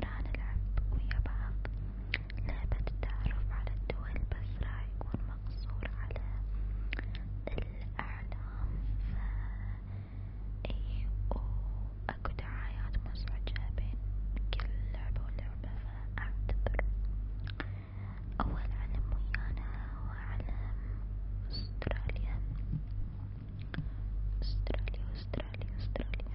راح نلعب ويا بعض لعبة التعرف على الدول بس راح يكون مقصور على الأعلام فا إيه وأكو دعايات مزعجة بين كل لعبة ولعبة فأعتذر أول علم ويانا هو علم أستراليا أستراليا أستراليا أستراليا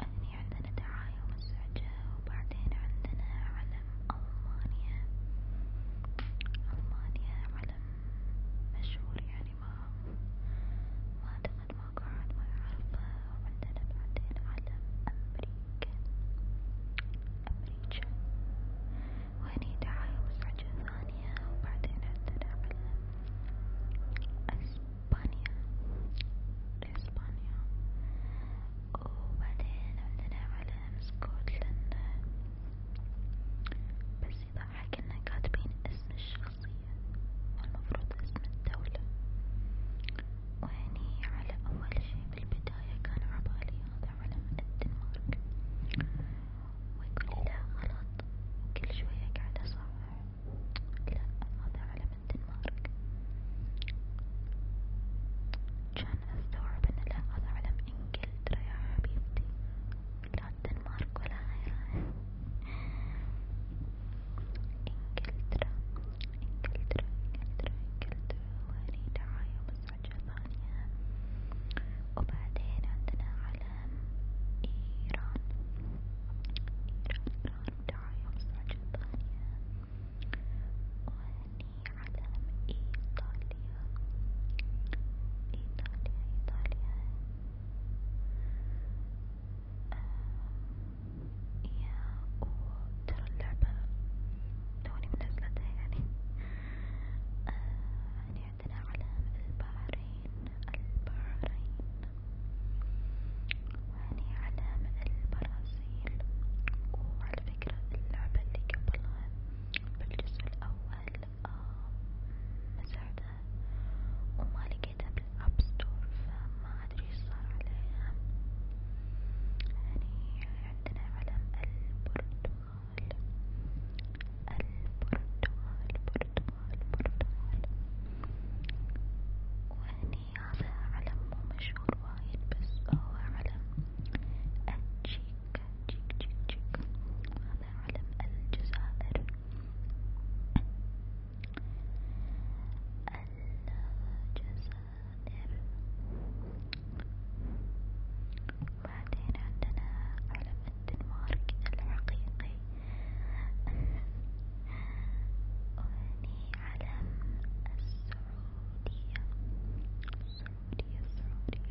هني عندنا دعاية مزعجة وبعدين عندنا علم ألمانيا ألمانيا علم مشهور يعني ما ما أدري المقعد ويعرفه وعندنا بعدين علم أمريكا أمريكا وهني دعاية مزعجة ثانية وبعدين عندنا علم إسبانيا إسبانيا وبعدين عندنا علم اسكتلندا بس يضحك إن كاتبين اسم الشخصية معين المفروض اسم الدولة وهني على أول شي بالبداية كان عبالي هذا علم الدنمارك ويقولي لا غلط كل شوية قاعد أصحح لا هذا علم الدنمارك كان أستوعب إن لا هذا علم إنجلترا يا حبيبتي لا الدنمارك ولا إيران إنجلترا إنجلترا إنجلترا إنجلترا وهني دعاية مزعجة ثانية وبعدين عندنا علم إيران إيران إيران دعاية مزعجة ثانية وهني علم إيطاليا إيطاليا إيطاليا يا وترى اللعبة توني منزلتها يعني يعني عندنا علم البحرين البحرين وهني علم البرازيل وعلى فكرة اللعبة اللي قبلها بالجزء الأول آه، مسحتها وما لقيتها بالاب ستور فما ادري ايش صار عليها يعني عندنا علم البرتغال البرتغال البرتغال البرتغال وهني هذا علم مو مشهور وايد بس هو علم التشيك تشيك تشيك تشيك هذا علم الجزائر الجزائر بعدين عندنا علم الدنمارك الحقيقي وهني علم السعودية السعودية السعودية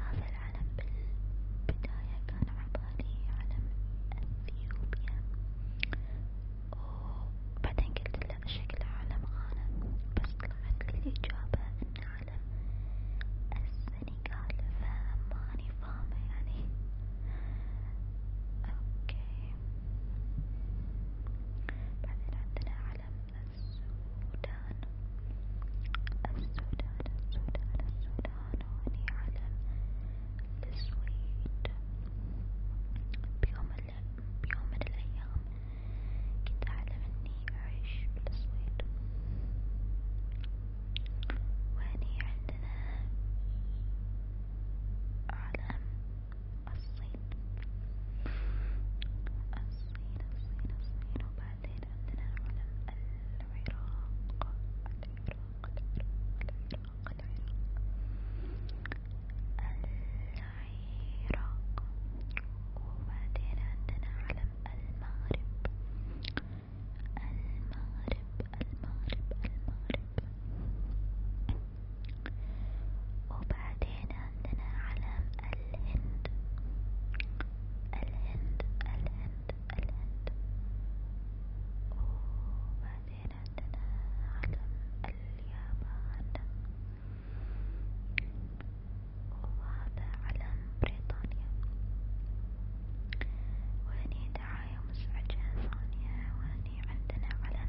هذا العلم بالبداية كان عبالي علم أثيوبيا وبعدين قلت له شكله علم غانا بس طلعت لي الإجابة إنه علم السنغال فماني فاهمة يعني اوكي بعدين عندنا علم السودان السودان السودان السودان وأني علم السويد بيوم بيوم من الأيام كنت أعلم إني أعيش بالسويد وهني عندنا علم الصين الصين الصين الصين وبعدين عندنا العلم العراق العراق العراق العراق العراق وبعدين عندنا علم المغرب المغرب المغرب المغرب وبعدين عندنا علم الهند الهند الهند الهند وبعدين عندنا علم اليابان وهذا علم بريطانيا وهني دعاية مزعجة ثانية وهني عندنا علم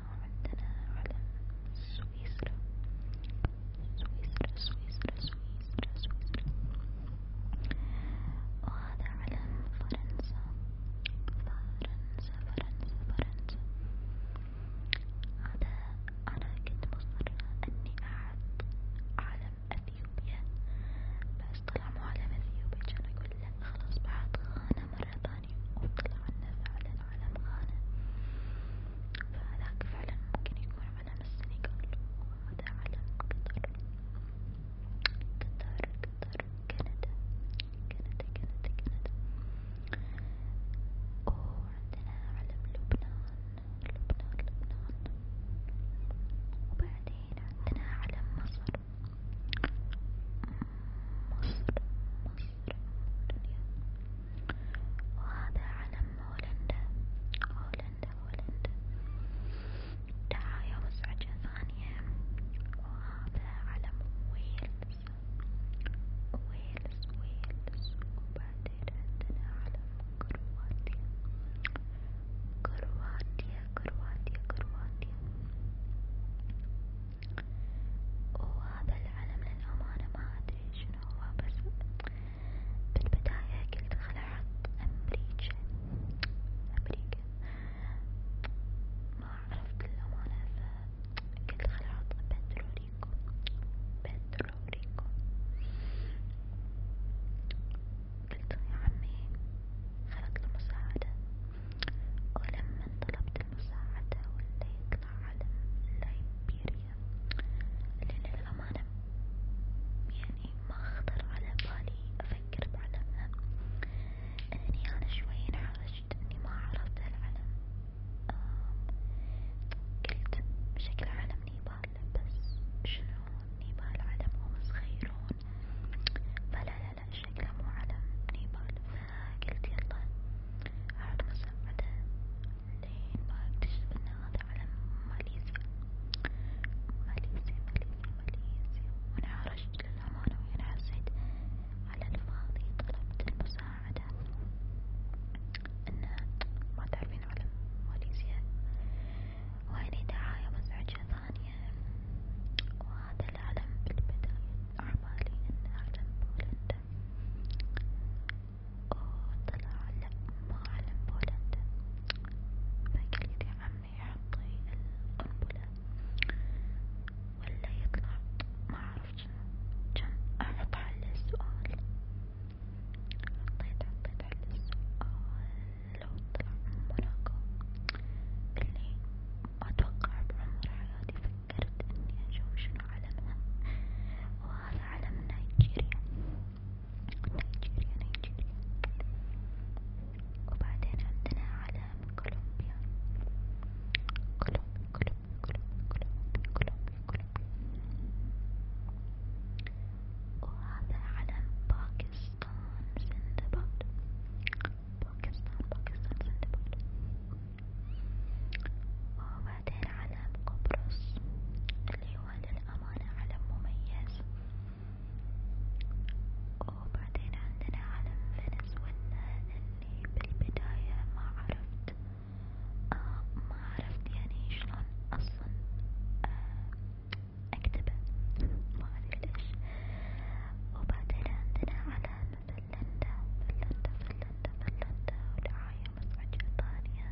وعندنا علم سويسرا سويسرا سويسرا سويسرا سويسرا وهذا علم فرنسا فرنسا فرنسا فرنسا هذا أنا كنت مصرة إني أعد علم أثيوبيا بس طلع مو علم أثيوبيا كان أقول لا خلاص بعد خانة مرة ثانية ثانية وطلع لنا فعلا علم غانا فهذاك فعلا ممكن يكون علم السنغال وهذا علم قطر قطر قطر كندا كندا كندا كندا وعندنا علم لبنان لبنان لبنان وبعدين عندنا علم مصر مصر مصر الدنيا وهذا علم هولندا هولندا هولندا دعايا مزعجة ثانية وهذا علم ويلز ويلز ويلز وبعدين عندنا علم كرواتيا كرواتيا كرواتيا كرواتيا وهذا العلم للأمانة ما أدري شنو هو بس بالبداية قلت خل أحط أمريكا أمريكا ما عرفت للأمانة فقلت خل أحط بتروريكو بتروريكو قلت يا عمي خلت له مساعدة ولما طلبت المساعدة ولا يطلع علم ليبيريا لأن للأمانة يعني ما خطر على بالي أفكر بعلمها لأني أنا شوي انحرجت إني ما عرفت العلم قلت شكل علم نيبال بس شنو نيبال علم هم صغيرون فلا لا على شكله مو على نيبال فقلت يلا أعود مساعدة لين ما اكتشف ان هذا علم ماليزيا ماليزيا ماليزيا ماليزيا وانا عرجت للأمانة وانا حسيت على الفاضي طلبت المساعدة ان ما تعرفين علم ماليزيا وهني دعاية مزعجة ثانية وهذا العلم بالبداية أعمالي إن أعلم بولندا وطلع لا ما أعلم بولندا فقال لي عمي حطي القنبلة ولا يطلع ما أعرف شنو كان أحط حل السؤال حطيت حطيت حل السؤال لو طلع موناكو اللي أتوقع بعمر حياتي فكرت إني أشوف شنو علمها وهذا علم نيجيريا نيجيريا نيجيريا وبعدين عندنا علم كولومبيا كولومبيا كولومبيا كولومبيا كولومبيا كولومبيا وهذا علم باكستان Pakistan Zindabad Pakistan Pakistan Zindabad وبعدين علم قبرص اللي هو للأمانة علم مميز وبعدين عندنا علم فنزويلا اللي بالبداية ما عرفت آه ما عرفت يعني شلون أصلا آه أكتبه ما أدري ليش وبعدين عندنا علامة فنلندا فنلندا فنلندا فنلندا ودعاية مزعجة ثانية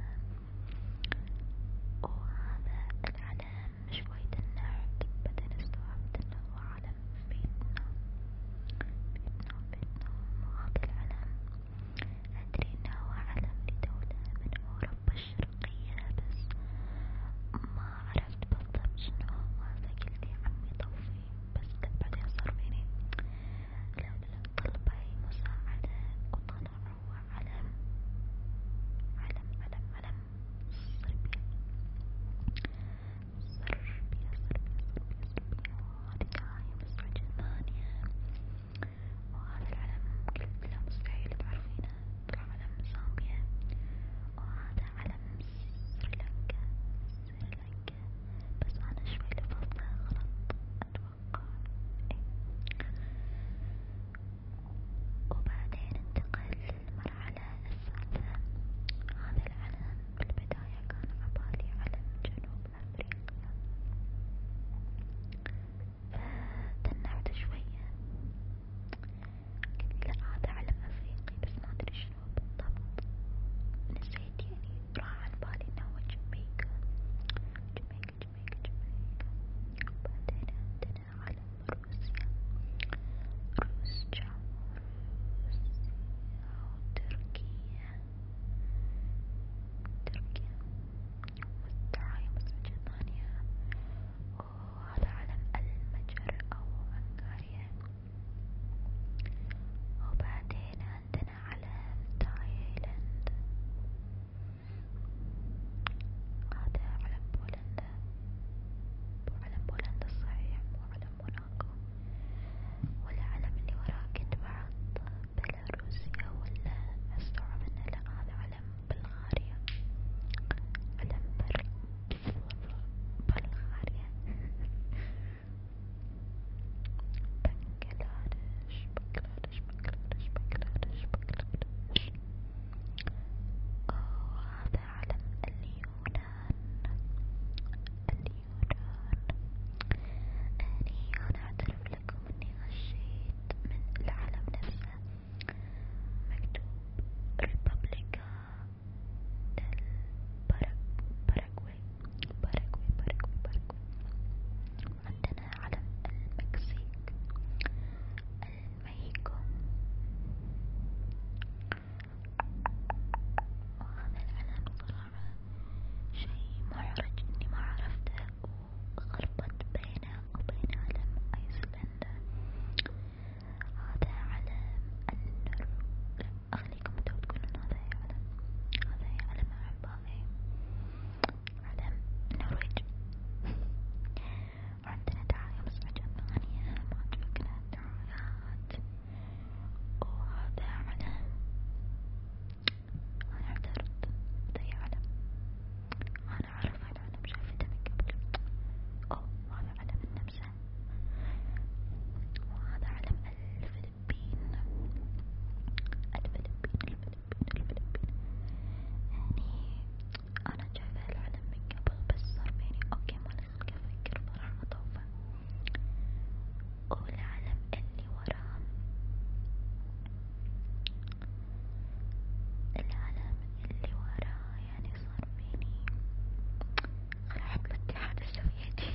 وهذا العلم شوي دنعت بعدين استوعبت إنه هو علم فيتنام فيتنام فيتنام وهذا العلم أدري إنه هو علم لدولة من أوروبا القبة الشرقية بس ما عرفت بالضبط شنو هو فقلت يا عمي طوفي بس بعدين صار فيني لا لا طلبي مساعدة وطلع هو علم علم علم علم صربيا صربيا صربيا صربيا صربيا هذي دايم الساعة ثمانية وهذا العلم ممكن لا مستحيل تعرفينه طلع علم زامبيا وهذا علم سريلانكا سريلانكا بس أنا شوي لفظته غلط أتوقع إيه. وبعدين انتقل للمرحلة الثالثة هذا العلم بالبداية كان عبالي علم جنوب أفريقيا تنعت شوية قلت لا هذا علم افريقي بس ما ادري شنو بالضبط نسيت يعني راح عن بالي انه هو جميكا جميكا جميكا جميكا وبعدين عندنا علم روسيا روسيا روسيا وتركيا تركيا والدعاية مزعجة ثانية وهذا علم المجر أو أنغاريا وبعدين عندنا علم تايلاند هذا علم بولندا وعلم بولندا الصحيح وعلم موناكو والعلم اللي وراه كتب عض بيلاروسيا ولا استوعب ان لا هذا علم بلغاريا علم بل... بلغاريا بنغلاديش بنغلاديش بنغلاديش بنغلاديش بنغلاديش هذا علم اليونان اليونان أني أنا أعترف لكم إني غشيت البيت من العلم نفسه مكتوب ريبابليكا باراغواي باراغواي باراغواي باراغواي عندنا علم المكسيك المهيكو وهذا العلم صراحة شي محرج اني ما عرفته غربت بينه وبين علم أيسلندا هذا علم النر أخليكم انتو تقولون هذا علم هذا علم أحبائي علم النرويج وعندنا دعاية بس عجبنا ثانية ما عجبتنا الدعايات وهذا علم أنا اعترضت ده علم أنا أعرف هالعلم شايفته من قبل أو هذا علم النمسا وهذا علم الفلبين الفلبين الفلبين الفلبين يعني أنا شايفة العلم من قبل بس صار بيني أوكي ما لسه أفكر صراحة أطوفه قول اعلم اني وراهم العلم اللي وراه يعني صار بيني راح الاتحاد السوفيتي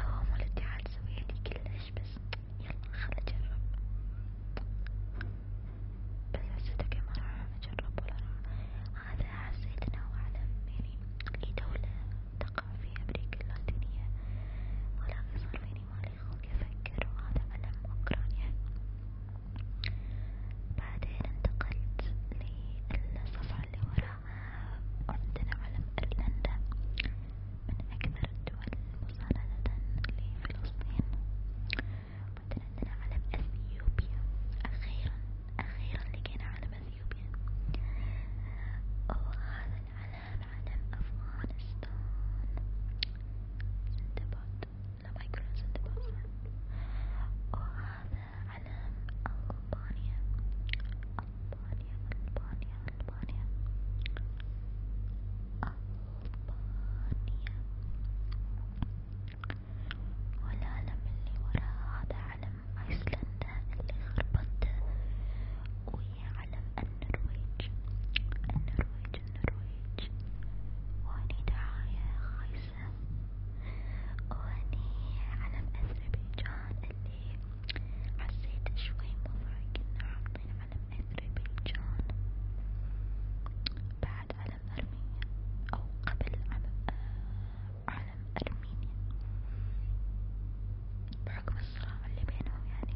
هو مو الاتحاد السوفيتي كلش بس يلا خل اجرب بس حسيته ما راح اجرب ولا راح هذا حسيت انه اعلم يعني اي دولة تقع في أمريكا اللاتينية، ولكن صار فيني ما يخلق أفكر وهذا ألم أوكرانيا، بعدين انتقلت للصفحة اللي وراها وعندنا علم أيرلندا، من أكثر الدول مساندة لفلسطين، بعدين عندنا علم أثيوبيا، أخيرا أخيرا لقينا علم اليمين وهذا العلم علم أفغانستان سندباد لا ما يقولون سندباد وهذا علم ألبانيا ألبانيا ألبانيا ألبانيا ألبانيا والعلم اللي ورا هذا علم ايسلندا اللي خربت وهي علم النرويج النرويج النرويج وهني دعاية خايسة وهني علم اذربيجان اللي حسيت شوي مضحك إن عاملين علم اذربيجان بعد علم أرمينيا أو قبل آه، علم أرمينيا بحكم الصراع اللي بينهم يعني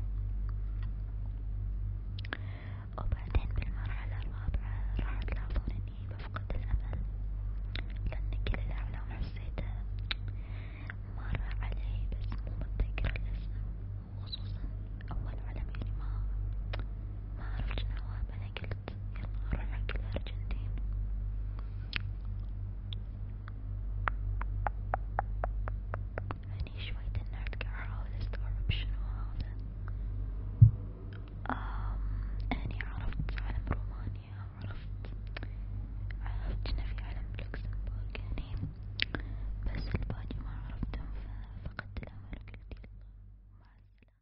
وبعدين بالمرحلة الرابعة راح تلاحظون إني بفقد الأمل لأن كل الأعلام حسيته مر علي بس مو متذكرة الاسم وخصوصا أول علم يعني ما ما عرفت شنو أنا قلت يلا نروح حق الأرجنتين هني شوية النرد قاعد أحاول أستوعب شنو هذا أم هني عرفت علم رومانيا عرفت عرفت شنو في علم لوكسمبورغ هني يعني بس الباقي ما عرفتهم ففقدت الأمل وقلت يلا مع السلامة